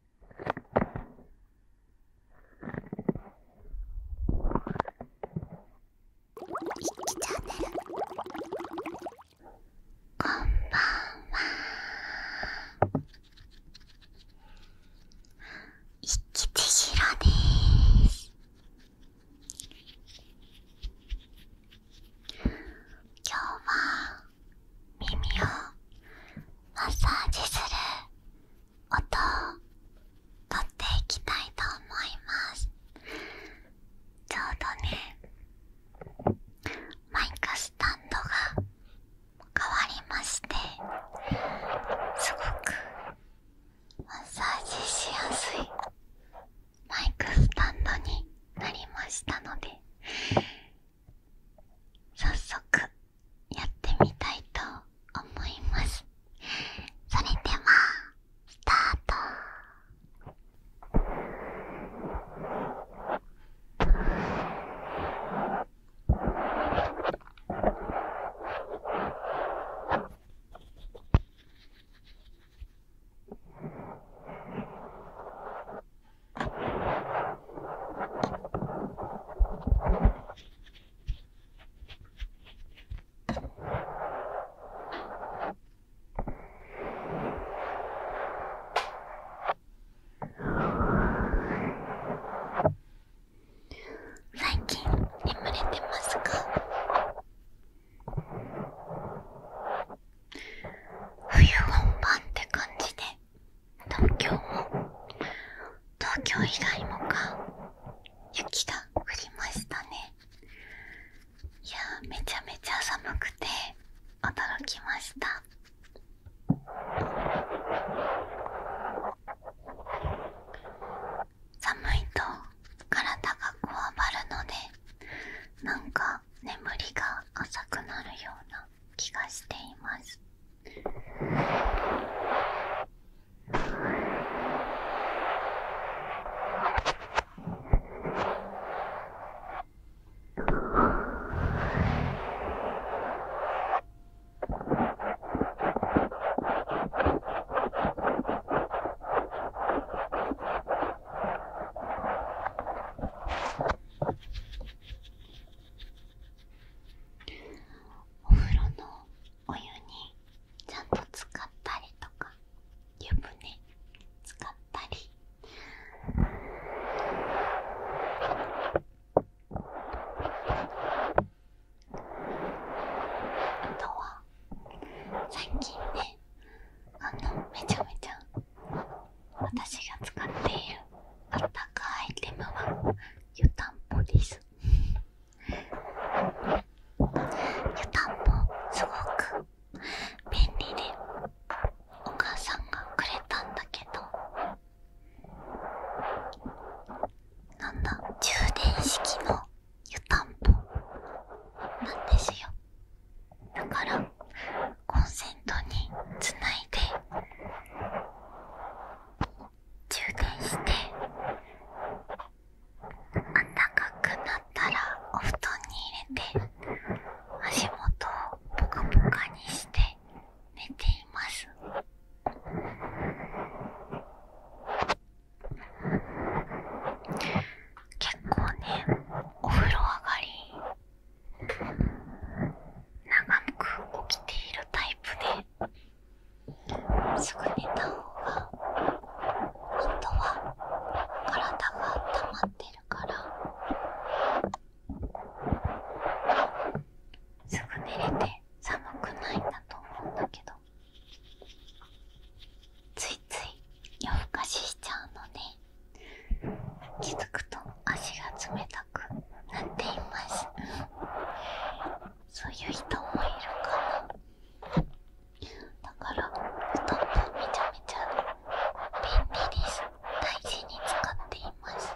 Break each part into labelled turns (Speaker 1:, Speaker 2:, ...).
Speaker 1: こんばんは一吉千尋です今日は耳をマッサージする音をとっていきたいと思いますちょうどねマイクスタンドが変わりましてすごくマッサージしやすいマイクスタンドになりましたので早速やってみたいと思いますそれではスタート最近眠れてますか冬本番って感じで東京も東京以外もか雪が降りましたねいやめちゃめちゃ寒くて驚きました寒いと体がこわばるのでなんか眠りが浅くなるような気がしています。お風呂のお湯にちゃんと使ったりとか湯船使ったりあとは最近ねあのめちゃめちゃ私が使っているあったかアイテムは湯たんぽです湯たんぽすごく便利でお母さんがくれたんだけどなんだ充電式の湯たんぽなんですよだからコンセントにつないで充電してあったかくなったらお布団に入れて足元をポカポカにして寝ています。結構ねお風呂上がり長く起きているタイプですぐ寝た方が本当は体が温まってるからすぐ寝れて寒くないんだと思うんだけどついつい夜更かししちゃうのね。気づくと足が冷たくなっていますそういう人もいるかなだから布団もめちゃめちゃ便利です大事に使っています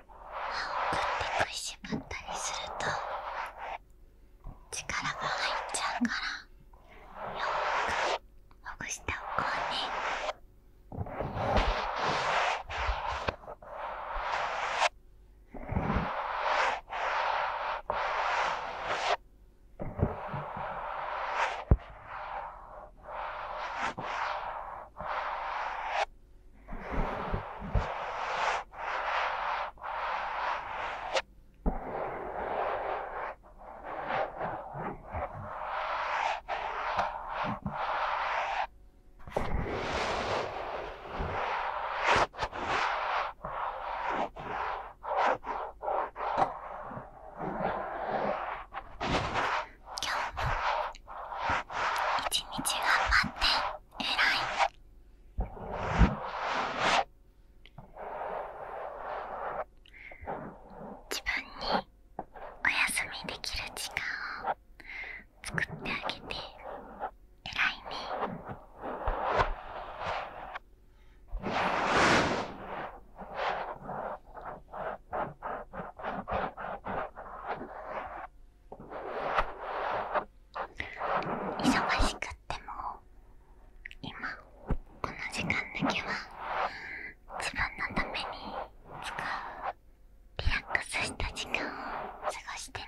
Speaker 1: 歯を食ってしまったりすると力が入っちゃうからよーくほぐしておこうね。今日も一日頑張って偉い自分にお休みできる時間を作ってあげて偉いね忙しくっても今この時間だけは自分のために使うリラックスした時間を過ごしてね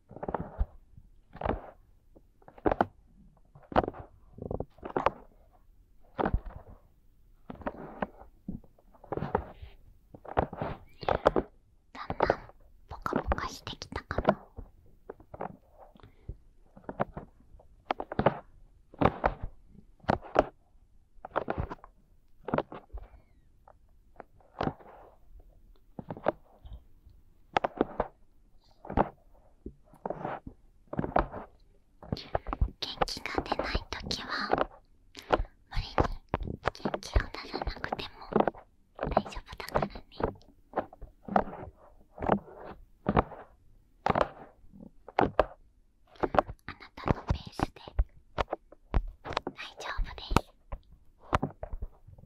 Speaker 1: だんだんポカポカしてきたかな。元気が出ないときは無理に元気を出さなくても大丈夫だからね。あなたのペースで大丈夫です。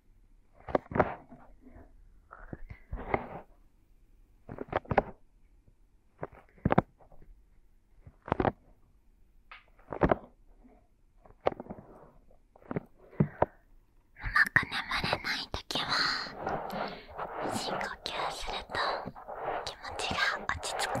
Speaker 1: く眠れない時は深呼吸すると気持ちが落ち着くよ。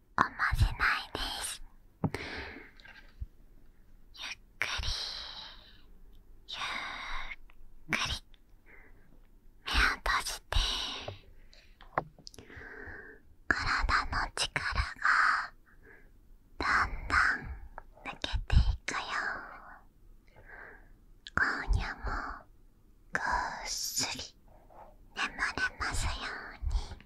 Speaker 1: おまじないですゆっくりゆっくり目を閉じて体の力がだんだん抜けていくよ今夜もぐっすり眠れますように。